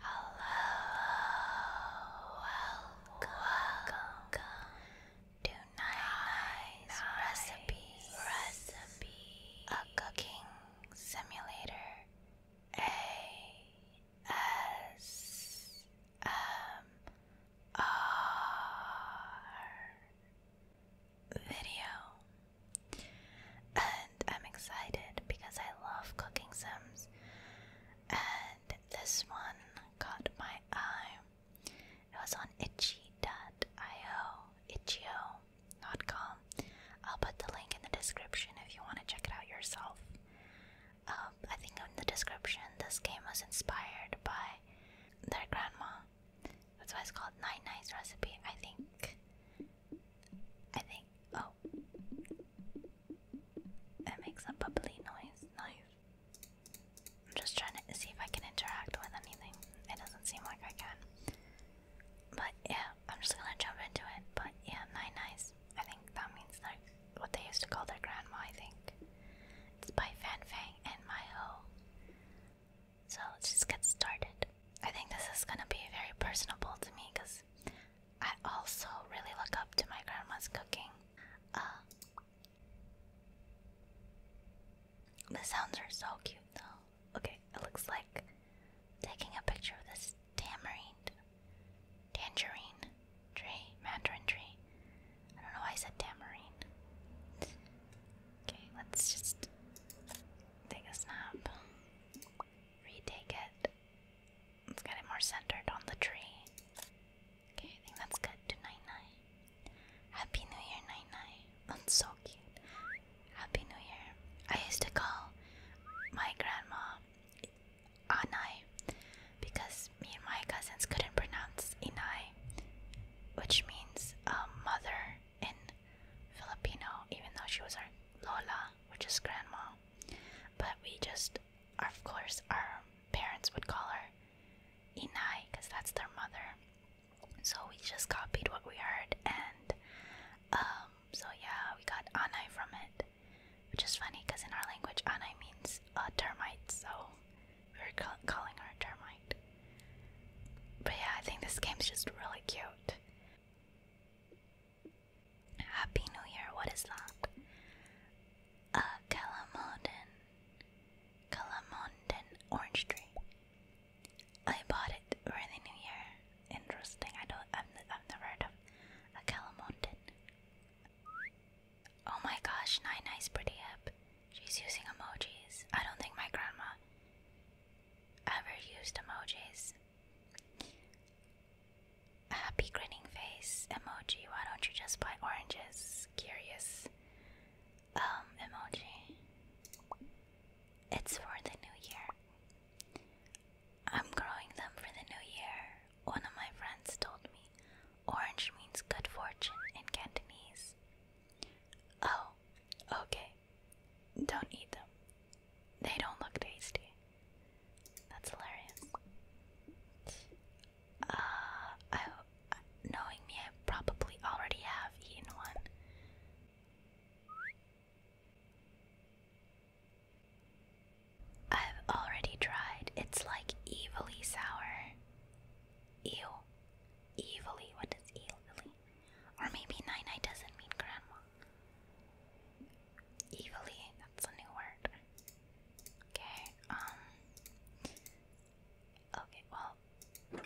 Hello, welcome, to Nine Nice Recipes, a cooking simulator, A S video. And I'm excited because I love cooking sims. And this one caught my eye. It was on itchy.io, itch.io, I'll put the link in the description if you want to check it out yourself. Um, I think in the description, this game was inspired by their grandma. That's why it's called Nine Nights Recipe. I think. I think. Oh, it makes a bubbly noise. Knife. I'm just trying to see if I can interact with anything. It doesn't seem like I can. But yeah, I'm just gonna jump into it. But yeah, nine eyes. I think that means knife what they used to call their grandma, I think. It's by Fanfang and Myho. So let's just get started. I think this is gonna be very personable to me because I also really look up to my grandma's cooking. Uh, the sounds are so cute though. Okay, it looks like taking a picture of this tamarind, tangerine tree, mandarin tree. I don't know why I said tamarind. Okay, let's just take a snap, retake it. Let's get it more centered on the tree. Okay, I think that's good to Nine Nine. Happy New Year, Nine Nine. That's so cute. Happy New Year. I used to call my grandma Anai because me and my cousins couldn't pronounce Inai, which means um, mother in Filipino, even though she was our Lola, which is grandma. But we just, of course, our parents would call her Inai because that's their mother. So we just copied what we heard, and um, so yeah, we got Anai from it. Which is funny because in our language, Anai means a uh, termite, so we were calling her a termite. But yeah, I think this game's just really cute. Happy New Year, what is that? Uh, Calamondin. Calamondin orange tree. I bought it early New Year. Interesting, I don't, I've never heard of a Calamondin. Oh my gosh, Nine Nine's pretty hip. She's using emojis. I don't think my grandma ever used emojis. A happy grinning face emoji. Why don't you just buy oranges? Curious. Um, emoji. It's for the new year. I'm growing them for the new year, one of my friends told me. Orange means good fortune in Cantonese. Oh, okay. Don't eat them. They don't look tasty. That's hilarious. Uh, I, knowing me, I probably already have eaten one. I've already tried. It's like evilly sour. Ew. Evilly. What does evilly? Or maybe nine nine doesn't mean grandma. Evilly. That's a new word. Okay. Um. Okay. Well.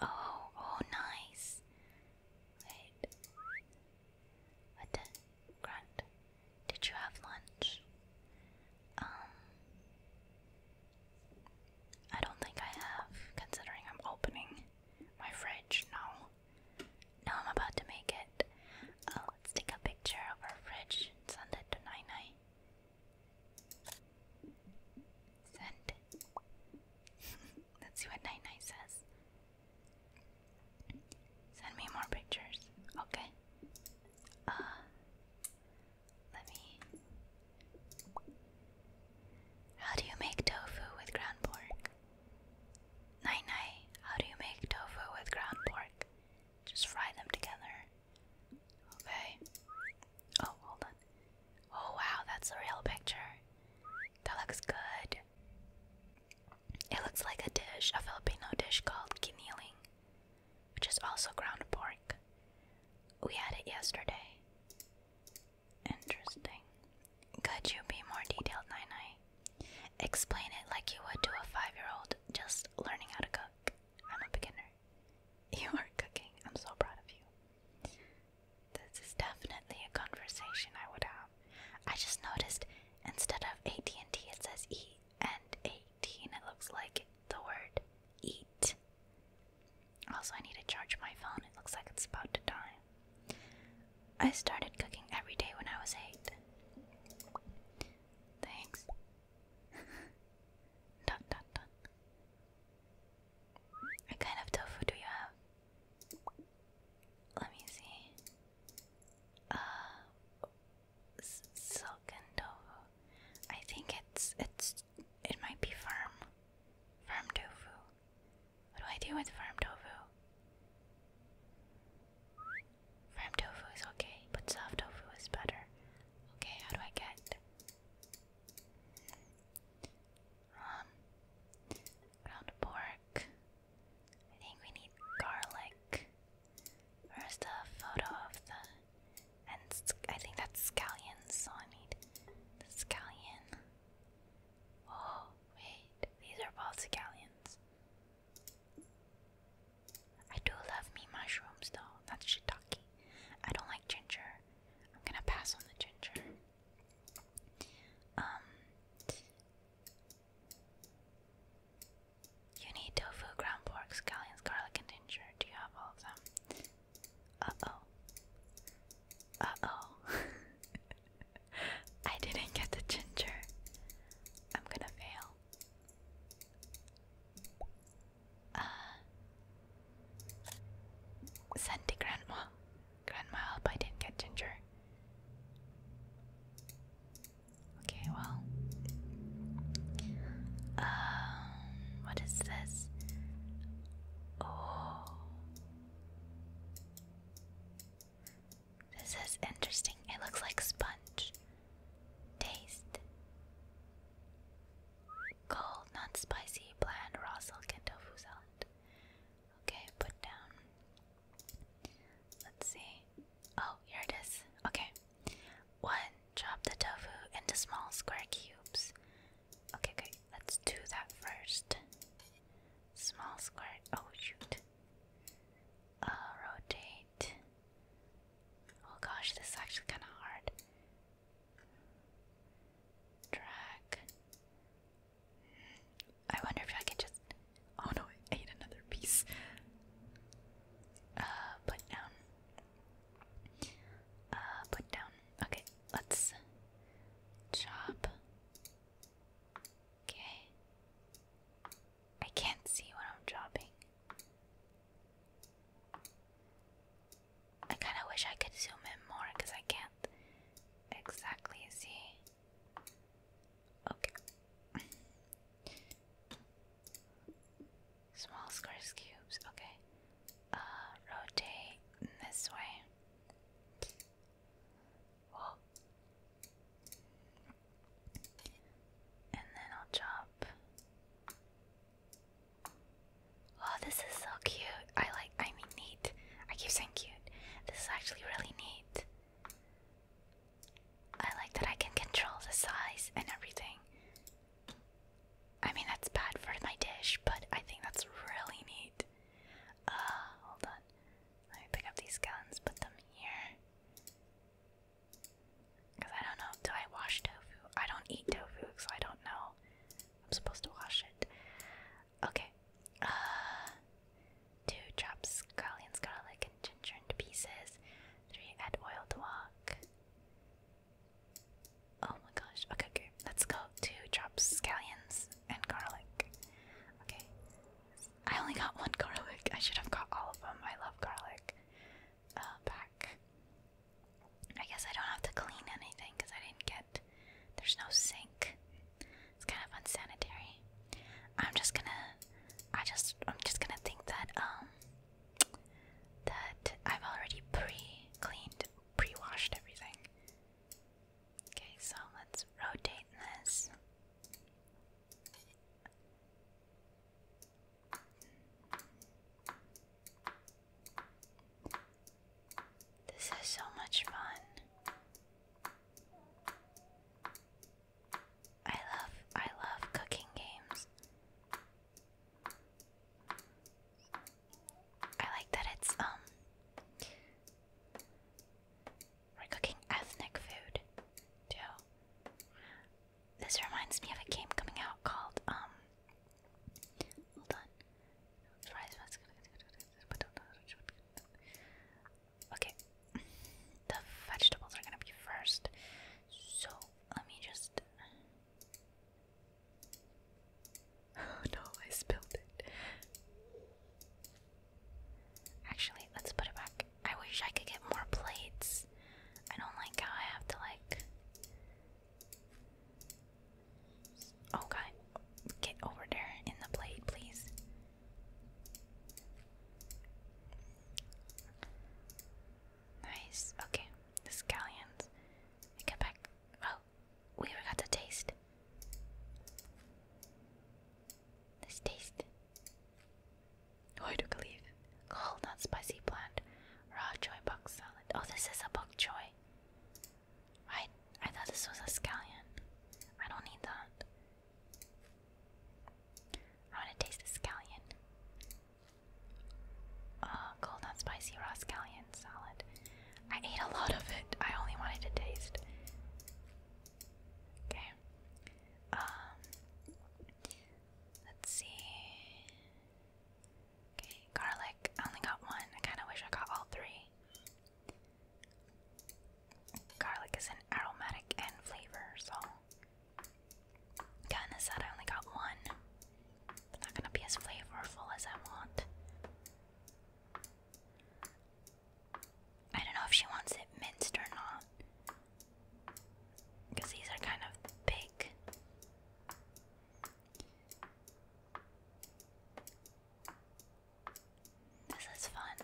Oh. Oh. Nice. Wait. What the? did you have lunch? Um, I don't think I have, considering I'm opening my fridge now. Now I'm about to make it. Uh, let's take a picture of our fridge send it to Nai Nai. Send. Let's see what Nai Nai says. Send me more pictures. Okay. Uh let me How do you make tofu with ground pork? Nai nai, how do you make tofu with ground pork? Just fry them together. Okay. Oh, hold on. Oh wow, that's a real picture. That looks good. It looks like a dish, a Filipino dish called kiniling, which is also ground pork. We had it yesterday. Interesting. Could you be more detailed, Nai Nai? Explain it like you would to a five-year-old just learning how to cook. I'm a beginner. You are cooking. I'm so proud of you. This is definitely a conversation I would have. I just noticed instead of AT&T it says E and 18 it looks like the word eat. Also I need to charge my phone. It looks like it's about to die. I started cooking every day when I was 8. Thanks. dun, dun, dun. What kind of tofu do you have? Let me see uh, silk tofu. I think it's it's it might be firm, firm tofu. What do I do with firm tofu? Firm tofu is okay, but soft tofu is better. Okay, how do I get? Um, ground pork. I think we need garlic. Where's the photo of the. And I think that's scallions, I need scallion. Oh, wait, these are both scallions. I do love me mushrooms though, that's shiitake. I don't like ginger. I'm gonna pass on the ginger. Um, you need tofu, ground pork, scallions, garlic, and ginger. Do you have all of them? Uh oh. Uh oh. I didn't get the ginger. I'm gonna fail. Uh, send grandma. Grandma, help, I didn't get Ginger. Okay, well. Um, what is this? Oh. This is interesting. It looks like sponge. Taste. Cold, non spicy, bland, raw silk tofu salad. Okay, put down. Let's see. Oh, here it is. Okay. One, drop the tofu into small square cubes. Okay, okay. Let's do that first. Small square. Oh, shoot. Uh, rotate. Oh gosh, this is actually kind of hard. Drag. I wonder if I can just. Oh no, I ate another piece. Uh, put down. Uh, put down. Okay, let's chop. Okay. I can't see what I'm chopping. I kind of wish I could zoom in more because I can't exactly see. Okay. Small squares cubes, okay. Uh, rotate this way. And then I'll chop. Oh, this is so cute. I like I mean I keep saying cute. This is actually really neat. I like that I can control the size and everything. I mean, that's bad for my dish, but I think that's really neat. Uh, hold on. Let pick up these gallons, put them here. Because I don't know. Do I wash tofu? I don't eat tofu, so I don't know. I'm supposed to wash it. Okay. Uh, two drops scallions, garlic, and ginger into pieces. Three add oil to walk. Oh my gosh. Okay, okay. Let's go Two drops scallions and garlic. Okay. I only got one garlic. I should have got all of them. I love garlic. Uh, back. I guess I don't have to clean anything because I didn't get there's no sink. It's kind of unsanitary. I'm just gonna I just I'm just gonna think that um that I've already pre-cleaned, pre-washed everything. Okay, so let's rotate this. This is so much fun. I love I love cooking games. I like that it's um we're cooking ethnic food too. This reminds me of a game coming out called um hold on. Okay, the vegetables are gonna be first, so let me just. no, I spilled it. Actually, let's put it back. I wish I could get more plates. I don't like how I have to, like. Oh get over there in the blade, please. Nice. Okay, the scallions. Get back. Oh, we forgot to taste. Let's taste. Oh, I took a leaf. Cold, not spicy plant. Raw joy box salad. Oh, this is a bok choy. Right? I thought this was a scallion. I don't need that. I want to taste the scallion. Uh, cold not spicy raw scallion salad. I ate a lot of it. I only wanted to taste. Okay. Um. Let's see. Okay, garlic. I only got one. I kind of wish I got all three. Garlic is an aromatic and flavor, so kinda sad I only got one. It's not gonna be as flavorful as I want. I don't know if she wants it minced or not. Because these are kind of big. This is fun.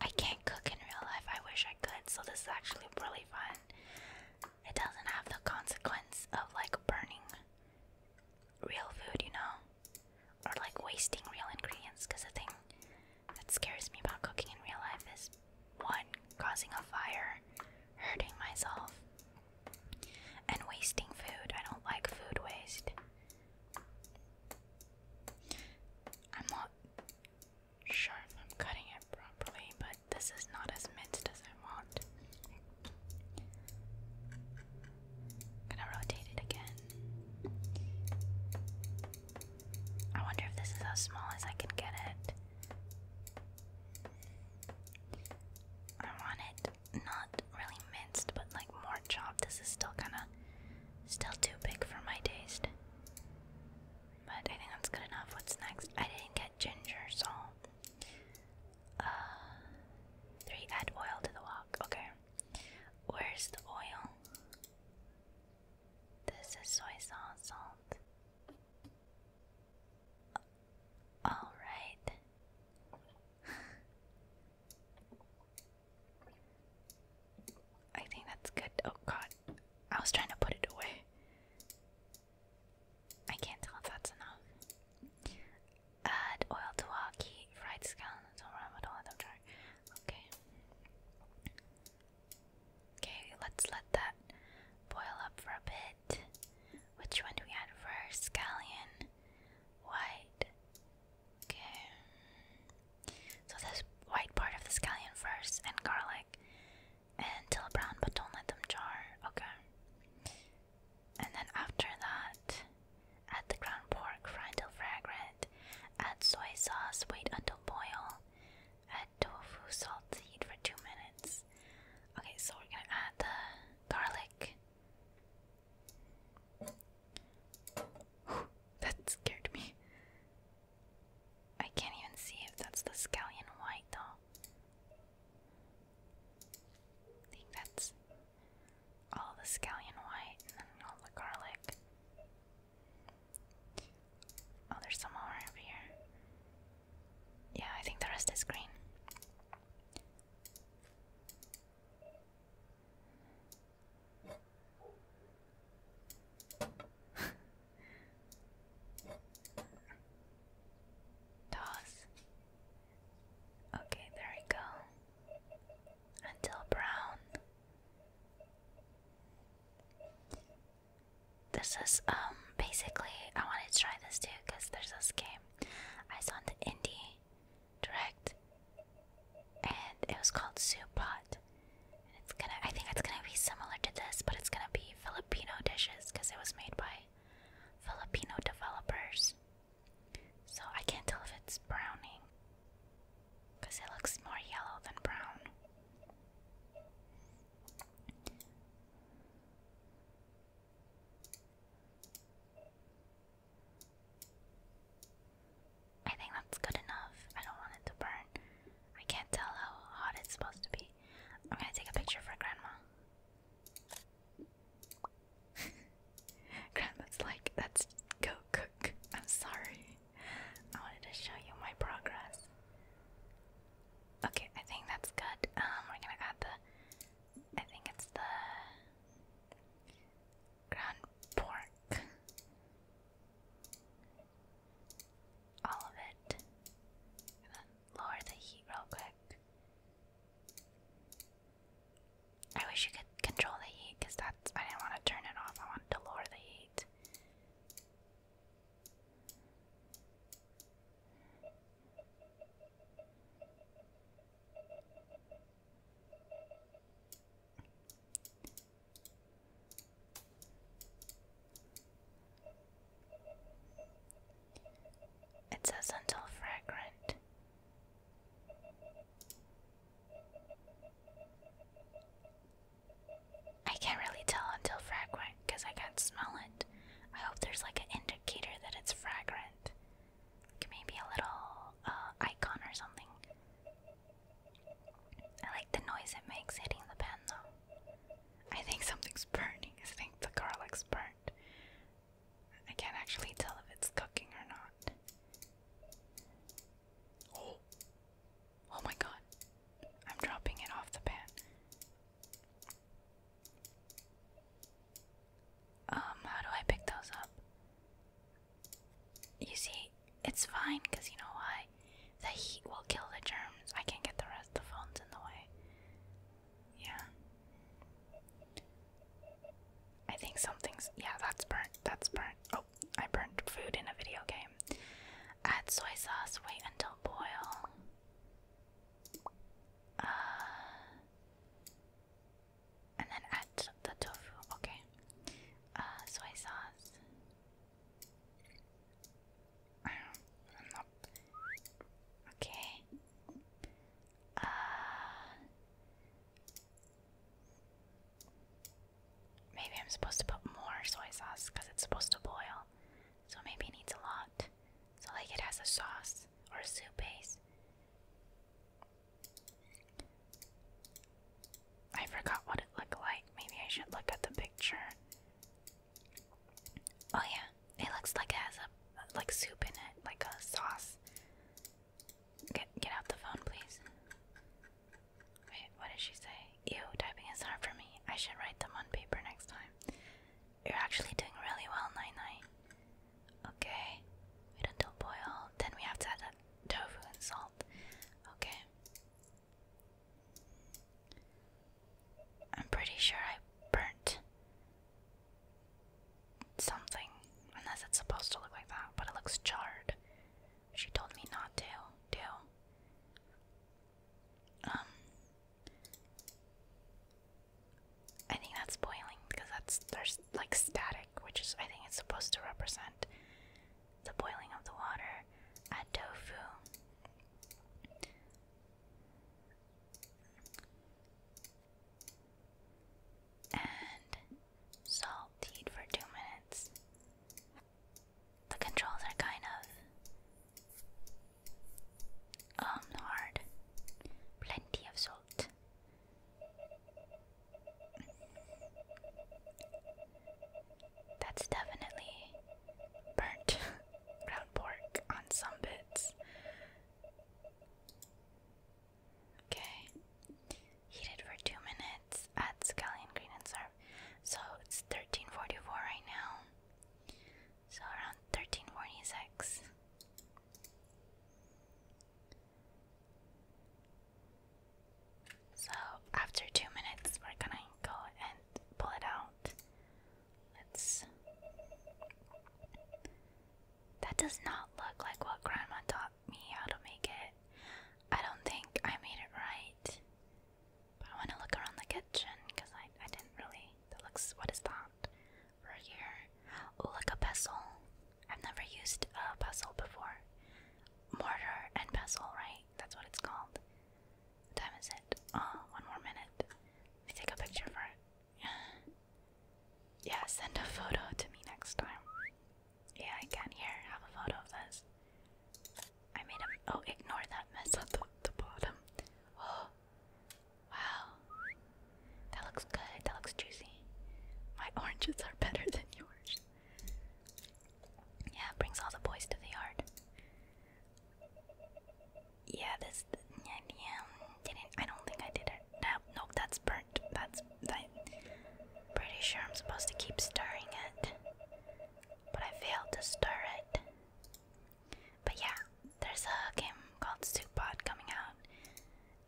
I can't cook in real life. I wish I could, so this is actually really fun. It doesn't have the consequence of like burning real food, you know, or like wasting real ingredients. Because the thing that scares me about cooking in real life is one, causing a fire, hurting myself, and wasting food. I don't like food waste. I'm not sure if I'm cutting it properly, but this is not as minced as I want. gonna rotate it again. I wonder if this is as small as I can get it. I want it not really minced, but like more chopped. This is still kind of still too big for my taste. But I think that's good enough. What's next? I didn't get ginger, so uh, three. Add oil to the wok. Okay, where's the oil? This is soy sauce, salt. All right. I think that's good. Oh god. I was trying to put it away. I can't tell if that's enough. Add oil to waki, fried scallions, ramen, all that jar. Okay. Okay, let's let that boil up for a bit. Which one do we add first? Scallion. White. Okay. So this white part of the scallion first, and garlic. Until brown, but don't let them jar. Okay. And then after that, add the ground pork, fry until fragrant. Add soy sauce, wait until boil. Add tofu, salt, heat for two minutes. Okay, so we're gonna add the garlic. that scared me. I can't even see if that's the scallion white though. I think that's all the scallion white and all the garlic. Oh, there's some more over here. Yeah, I think the rest is green. Toss. Okay, there we go. Until brown this is um basically I wanted to try this too because there's this game I saw on the indie direct and it was called Soup Pot. And it's gonna I think it's gonna be similar to this, but it's gonna be Filipino dishes because it was made by Filipino developers. So I can't tell if it's browning because it looks more yellow than brown. I think that's good enough. I don't want it to burn. I can't tell how hot it's supposed to be. I'm gonna take a picture for Grandma. Grandma's like, let go cook. I'm sorry. I wanted to show you my progress. Okay, I think that's good. Um, we're gonna add the. I think it's the ground pork. All of it. lower the heat real quick. I wish you could control the heat because that's. I didn't want to turn it off. I wanted to lower the heat. It says until fragrant. I can't really tell until fragrant because I can't smell it. I hope there's like an indicator that it's fragrant. maybe a little uh, icon or something. I like the noise it makes hitting the pan though. I think something's burning. I think the garlic's burnt. I can't actually tell if it's cooking or not. Oh! Oh my god. I'm dropping it off the pan. Um, how do I pick those up? You see, it's fine because you know why? The heat will kill the germs. I can't get the rest, the phone's in the way. Yeah. I think something's. Yeah, that's burnt. That's burnt. Oh, I burnt food in a video game. Add soy sauce, wait until boil. Uh, and then add the tofu. Okay. Uh, soy sauce. Um, okay. Uh, maybe I'm supposed to put more soy sauce because it's supposed to boil so maybe it needs a lot. So, like, it has a sauce or a soup base. I forgot what it looked like. Maybe I should look at the picture. Oh yeah, it looks like it has a like soup in it, like a sauce. Get get out the phone, please. Wait, what did she say? You typing is hard for me. I should write them on paper next time. You're actually doing really well, Nine Nine. Okay. Wait until boil. Then we have to add tofu and salt. Okay. I'm pretty sure I burnt something. Unless it's supposed to look like that, but it looks charred. She told me not to, do. Um I think that's boiling because that's there's like static, which is I think it's supposed to represent the boiling of the water. Add tofu. And salted for two minutes the controls are kind of um hard. Plenty of salt. That's definitely burnt brown pork on some bits. Okay. Heated for two minutes. Add scallion, green, and serve. So it's 1344 right now. So around 1346. So after two minutes, we're gonna go and pull it out. Let's. That does not look like what Grandma taught me how to make it. I don't think I made it right. I want to look around the kitchen because I, I didn't really. That looks. What is that? For here. Oh, like a pestle. I've never used a pestle before. Mortar and pestle, right? That's what it's called. What time is it? Oh, one more minute. Let me take a picture for it. yeah, send a photo to me next time. Yeah, I can. Here, have a photo of this. I made him. Oh, ignore that mess the, bottom. Oh, wow. That looks good. That looks juicy. My oranges are better than yours. Yeah, brings all the boys to the yard. Yeah, this. Yeah, didn't. I don't think I did it. No, nope, that's burnt. That's. I, pretty sure I'm supposed to keep stirring it but I failed to stir it. But yeah, there's a game called Soup Pot coming out,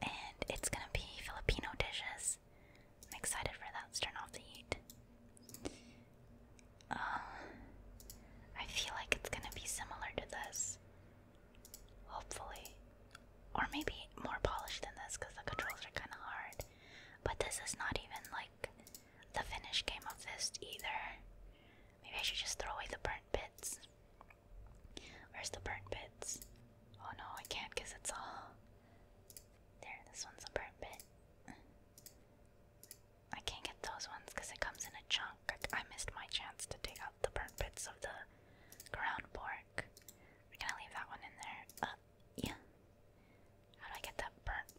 and it's gonna be Filipino dishes. I'm excited for that. let turn off the heat. Um, I feel like it's gonna be similar to this, hopefully, or maybe more polished than this because the controls are kind of hard. But this is not even like the finish came off this either. Maybe I should just throw away the burnt bits. Where's the burnt bits? Oh no, I can't because it's all. There, this one's a burnt bit. I can't get those ones because it comes in a chunk. I, missed my chance to take out the burnt bits of the ground pork. We're gonna leave that one in there. Uh, yeah. How do I get that burnt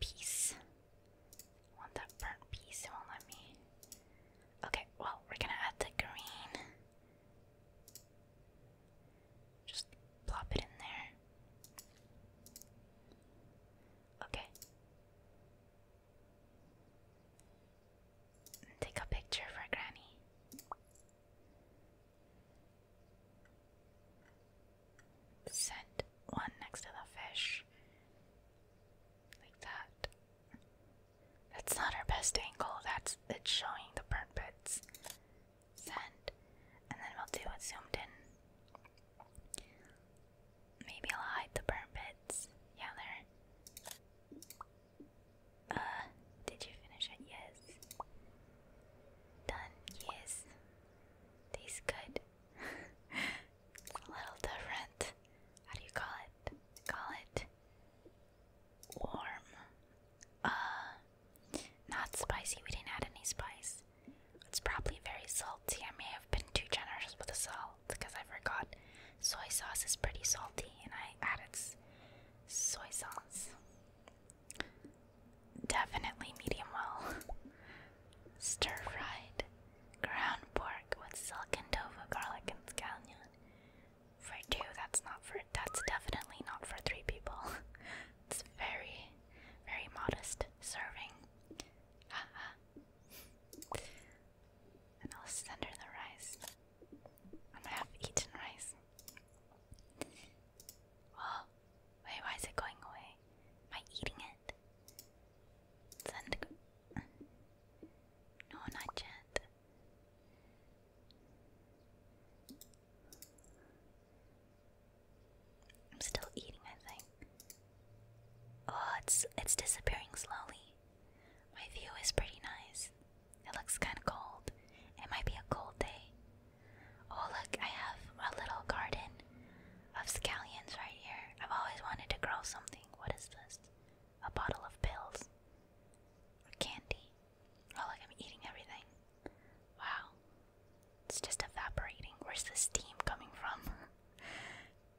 piece. want that burnt piece, it won't let me. Okay, well, we're gonna add the green. Just plop it in there. Okay. take a picture for Granny. Send one next to the fish. Like that. That's not our best angle, that's it's showing the burn bits. Send. And then we'll do it zoomed in. Maybe I'll hide the burn pits. Yeah, there. Uh, did you finish it? Yes. Done, yes. Tastes good. a little different. How do you call it? Call it warm. Uh, not spicy. We didn't add any spice. It's probably very salty. I may have been too generous with the salt because I forgot. Soy sauce is pretty salty, and I added soy sauce. Definitely medium well. Stir fried ground pork with silk and tofu, garlic, and scallion. For two, that's not for. That's definitely not for three people. it's very, very modest serving. and I'll send her the rice. I'm gonna have eaten rice. Wait, why is it going away? Am I eating it? Send No, not yet. I'm still eating, I think. Oh, it's it's disappearing slowly. My view is pretty nice. It looks kinda cold. It might be a cold day. Oh, look, I have a little garden of scallions right here. I've always wanted to grow something. What is this? A bottle of pills. Or candy. Oh, look, I'm eating everything. Wow. It's just evaporating. Where's the steam coming from?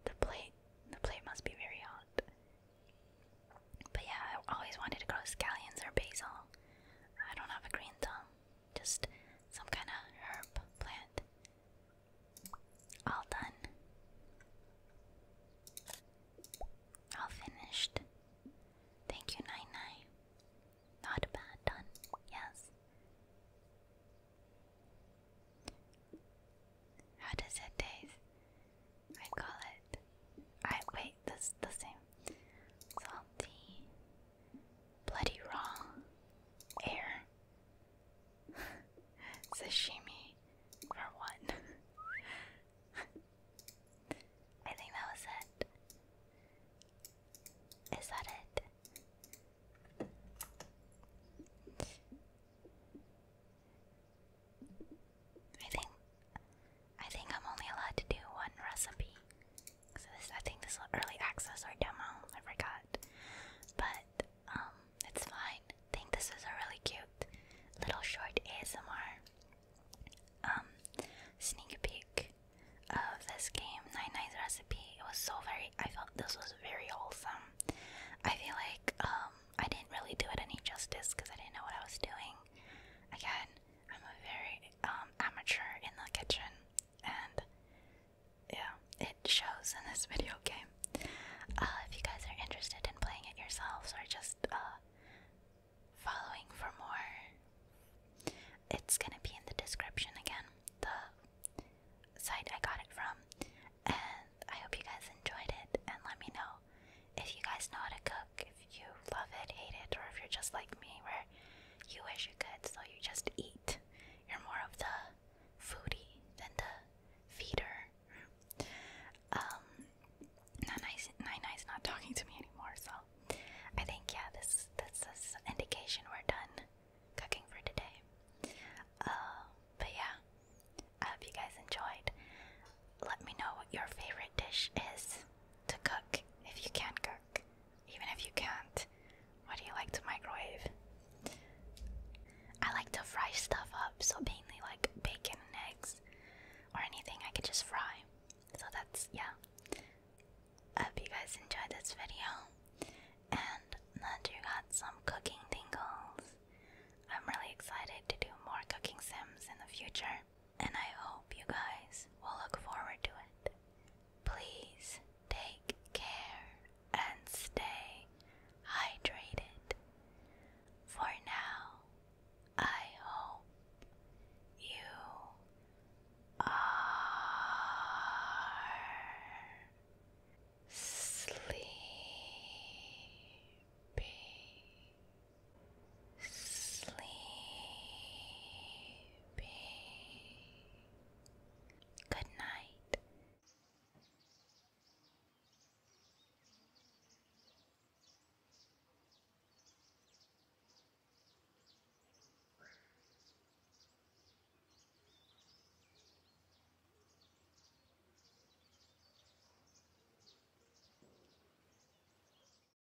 the plate. The plate must be very hot. But yeah, I always wanted to grow scallions or basil. I don't have a green thumb. Just some kind of herb plant. All done. All finished. Thank you, Nine Nine. Not bad, done. Yes. How does it taste? I call it. I wait. This the same. Salty, bloody raw air. Sashimi for one. I think that was it. Is that it? I think I think I'm only allowed to do one recipe. So this, I think this is early access or demo. I forgot, but um, it's fine. I think this is a really cute little short ASMR um sneak peek of this game. Nine Nights recipe. It was so very. I felt this was very wholesome. I feel like um I didn't really do it any justice because I didn't know what I was doing. Again, I'm a very um, amateur in the kitchen, and yeah, it shows in this video game. Uh, if you guys are interested in playing it yourselves or just uh, following for more, it's gonna be in the description again, the site I got it from. And I hope you guys enjoyed it, and let me know if you guys know how to cook if you love it, hate it, or if you're just like me, where you wish you could, so you just eat. You're more of the foodie than the feeder. Um, Nanai's, Nanai's not talking to me anymore, so I think yeah, this this is indication we're done cooking for today. Uh, but yeah, I hope you guys enjoyed. Let me know what your favorite dish is to cook if you can cook. Even if you can't, what do you like to microwave? I like to fry stuff up, so mainly like bacon and eggs or anything I could just fry. So that's, yeah. I hope you guys enjoyed this video and that you got some cooking tingles. I'm really excited to do more cooking sims in the future and I hope you guys will look forward to it. Please take care and stay hydrated. For now, I hope you are sleepy sleepy. Good night.